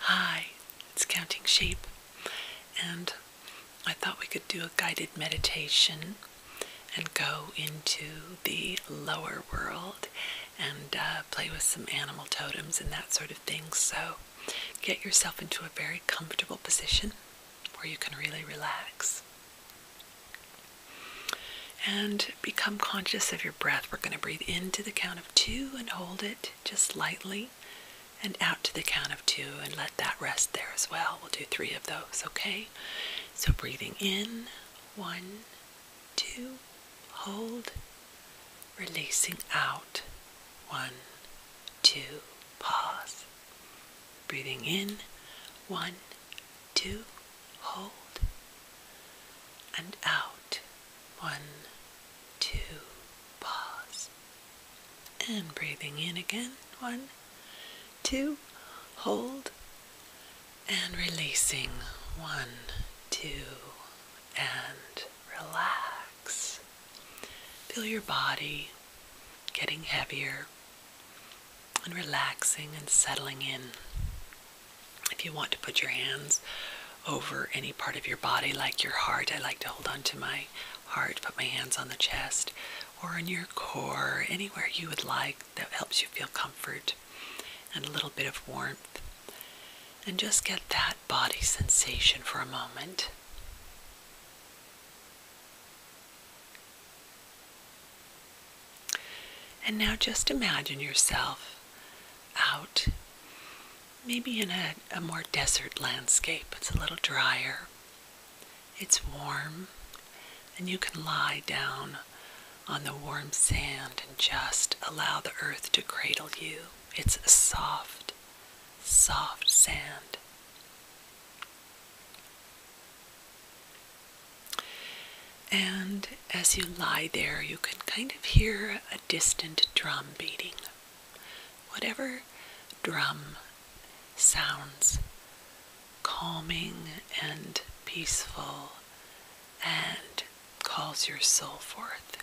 Hi, it's Counting Sheep, and I thought we could do a guided meditation and go into the lower world and uh, play with some animal totems and that sort of thing. So, get yourself into a very comfortable position where you can really relax. And become conscious of your breath. We're going to breathe into the count of two and hold it just lightly, and out to the count of two and let that rest there as well. We'll do three of those, okay? So breathing in, one, two, hold, releasing out, one, two, pause. Breathing in, one, Two, hold and out one two pause and breathing in again one two hold and releasing one two and relax feel your body getting heavier and relaxing and settling in. If you want to put your hands over any part of your body, like your heart, I like to hold onto my heart, put my hands on the chest, or on your core, anywhere you would like that helps you feel comfort and a little bit of warmth. And just get that body sensation for a moment. And now just imagine yourself out, maybe in a, a more desert landscape. It's a little drier, it's warm, and you can lie down on the warm sand and just allow the earth to cradle you. It's soft, soft sand. And as you lie there, you can kind of hear a distant drum beating. Whatever drum sounds calming and peaceful and calls your soul forth.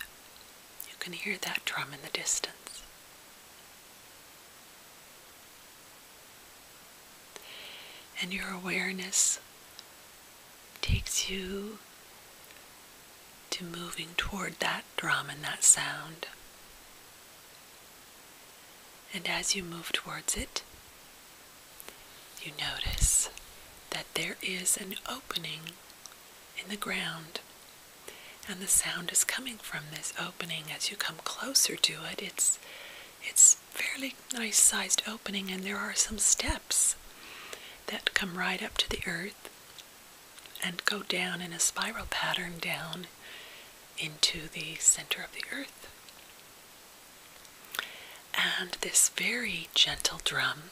You can hear that drum in the distance. And your awareness takes you to moving toward that drum and that sound. And as you move towards it, you notice that there is an opening in the ground. And the sound is coming from this opening as you come closer to it. It's, it's fairly nice sized opening and there are some steps that come right up to the earth and go down in a spiral pattern down into the center of the earth. And this very gentle drum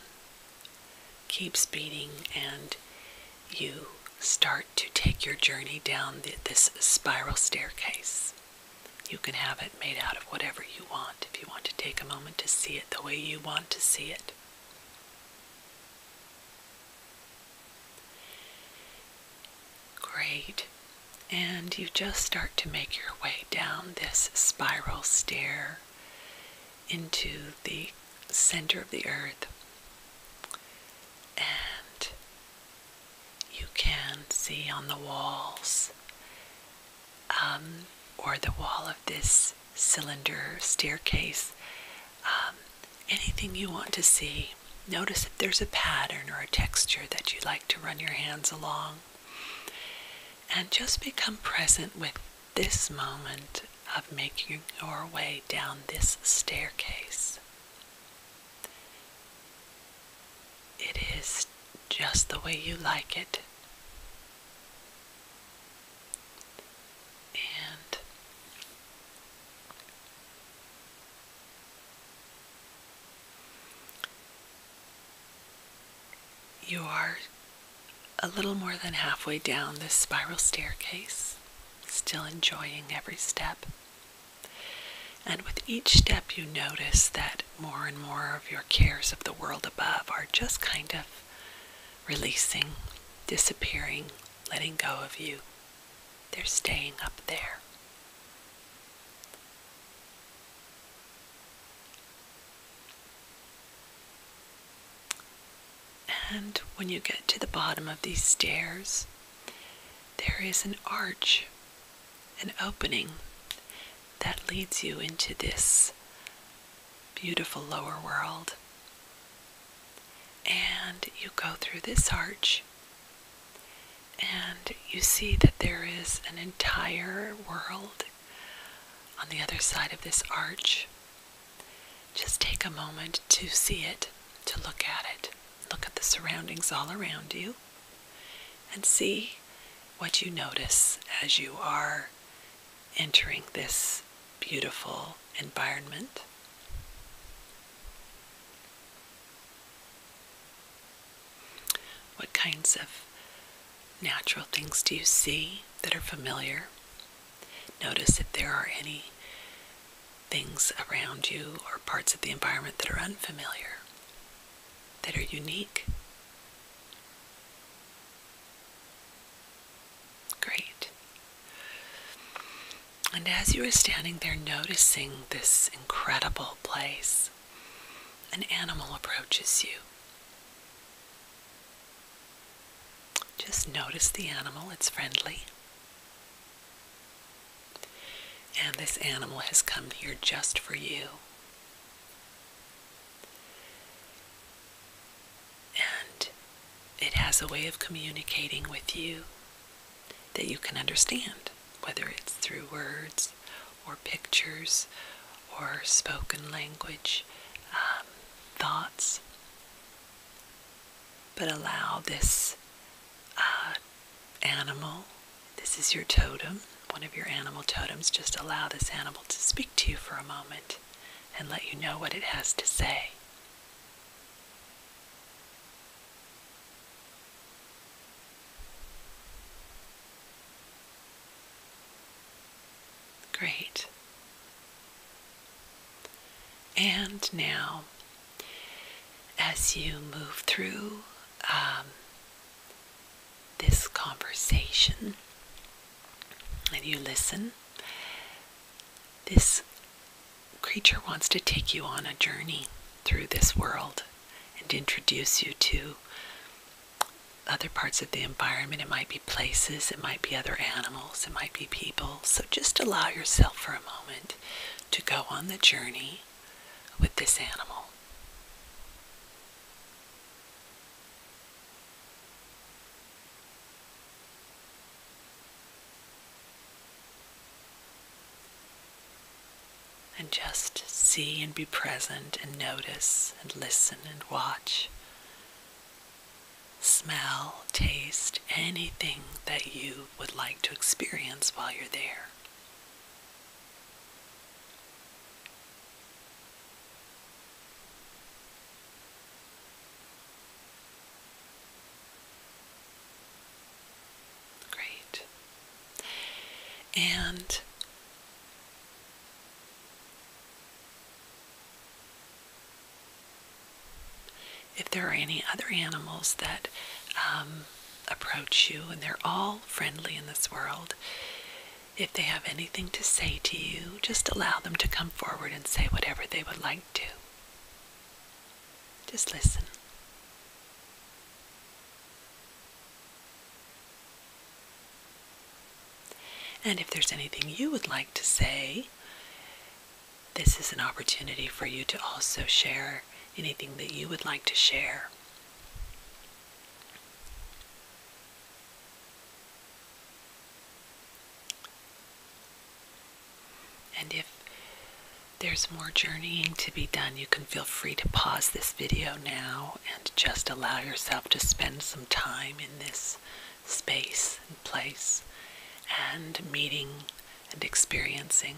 keeps beating, and you start to take your journey down this spiral staircase. You can have it made out of whatever you want if you want to take a moment to see it the way you want to see it. Great. And you just start to make your way down this spiral stair into the center of the earth. And you can see on the walls um, or the wall of this cylinder staircase um, anything you want to see. Notice if there's a pattern or a texture that you like to run your hands along. And just become present with this moment of making your way down this staircase. It is just the way you like it. And you are a little more than halfway down this spiral staircase, still enjoying every step. And with each step, you notice that more and more of your cares of the world above are just kind of releasing, disappearing, letting go of you. They're staying up there. And when you get to the bottom of these stairs, there is an arch an opening that leads you into this beautiful lower world. And you go through this arch, and you see that there is an entire world on the other side of this arch. Just take a moment to see it, to look at it. Look at the surroundings all around you and see what you notice as you are entering this beautiful environment. What kinds of natural things do you see that are familiar? Notice if there are any things around you or parts of the environment that are unfamiliar, that are unique. Great. And as you are standing there noticing this incredible place, an animal approaches you. Just notice the animal, it's friendly. And this animal has come here just for you. And it has a way of communicating with you that you can understand, whether it's through words or pictures or spoken language, um, thoughts. But allow this uh, animal. This is your totem, one of your animal totems. Just allow this animal to speak to you for a moment and let you know what it has to say. Great. And now as you move through um, this conversation and you listen, this creature wants to take you on a journey through this world and introduce you to other parts of the environment. It might be places, it might be other animals, it might be people. So just allow yourself for a moment to go on the journey with this animal. And just see and be present and notice and listen and watch. Smell, taste anything that you would like to experience while you're there. Great. And if there are any other animals that um, approach you, and they're all friendly in this world, if they have anything to say to you, just allow them to come forward and say whatever they would like to. Just listen. And if there's anything you would like to say, this is an opportunity for you to also share anything that you would like to share. And if there's more journeying to be done, you can feel free to pause this video now and just allow yourself to spend some time in this space and place and meeting and experiencing.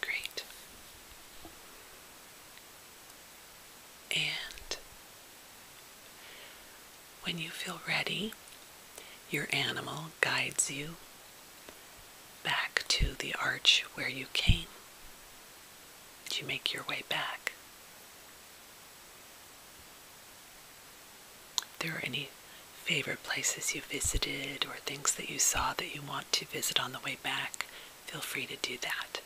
Great. And when you feel ready, your animal guides you back to the arch where you came. Did you make your way back? If there are any favorite places you visited or things that you saw that you want to visit on the way back, feel free to do that.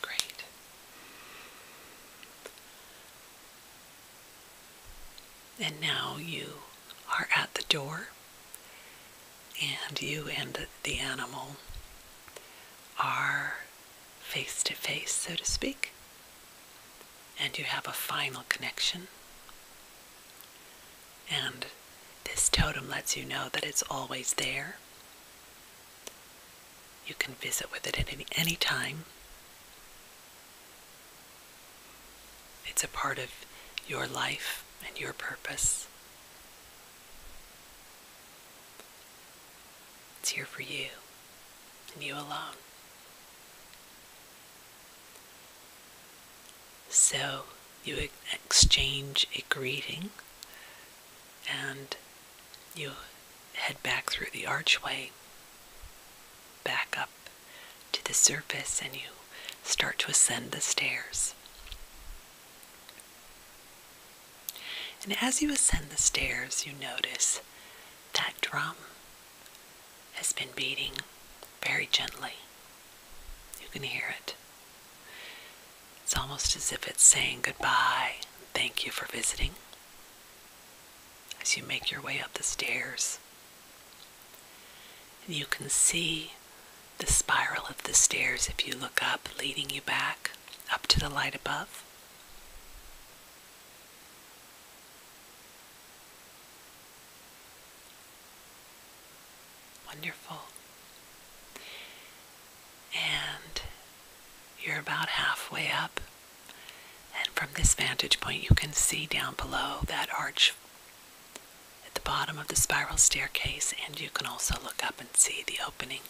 Great. And now you are at the door, and you and the animal are face to face, so to speak, and you have a final connection. And this totem lets you know that it's always there. You can visit with it at any, time. It's a part of your life and your purpose. It's here for you and you alone. So you exchange a greeting and you head back through the archway, back up to the surface and you start to ascend the stairs. And as you ascend the stairs, you notice that drum has been beating very gently. You can hear it. It's almost as if it's saying goodbye, thank you for visiting. As you make your way up the stairs, and you can see the spiral of the stairs if you look up, leading you back up to the light above. Wonderful. And you're about halfway up and from this vantage point, you can see down below that arch at the bottom of the spiral staircase, and you can also look up and see the opening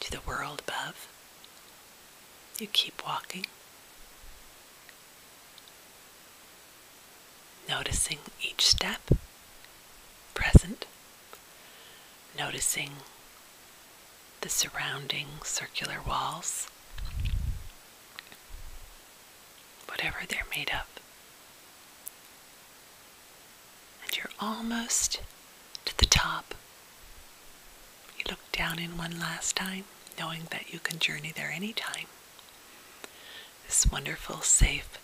to the world above. You keep walking, noticing each step, present, noticing the surrounding circular walls, whatever they're made of. And you're almost to the top. You look down in one last time, knowing that you can journey there anytime. This wonderful, safe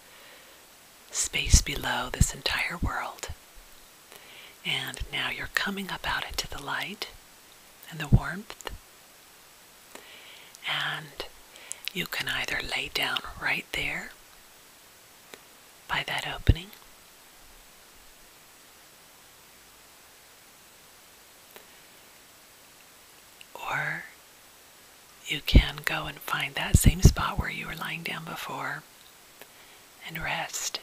space below this entire world. And now you're coming up out into the light and the warmth. And you can either lay down right there by that opening, or you can go and find that same spot where you were lying down before and rest.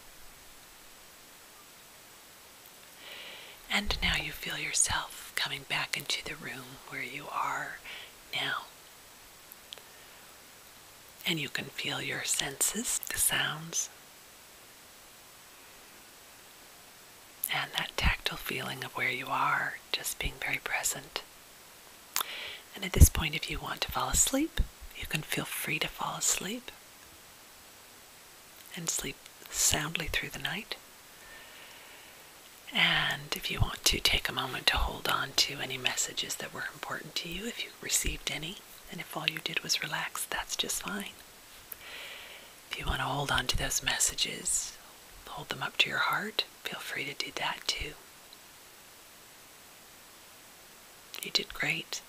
And now you feel yourself coming back into the room where you are now. And you can feel your senses, the sounds, and that tactile feeling of where you are, just being very present. And at this point, if you want to fall asleep, you can feel free to fall asleep and sleep soundly through the night. And if you want to take a moment to hold on to any messages that were important to you, if you received any, and if all you did was relax, that's just fine. If you want to hold on to those messages, hold them up to your heart, feel free to do that too. You did great.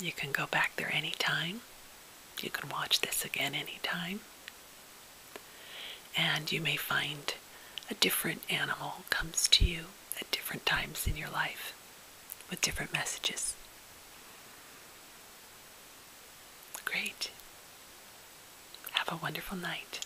You can go back there anytime. You can watch this again anytime. And you may find a different animal comes to you at different times in your life with different messages. Great. Have a wonderful night.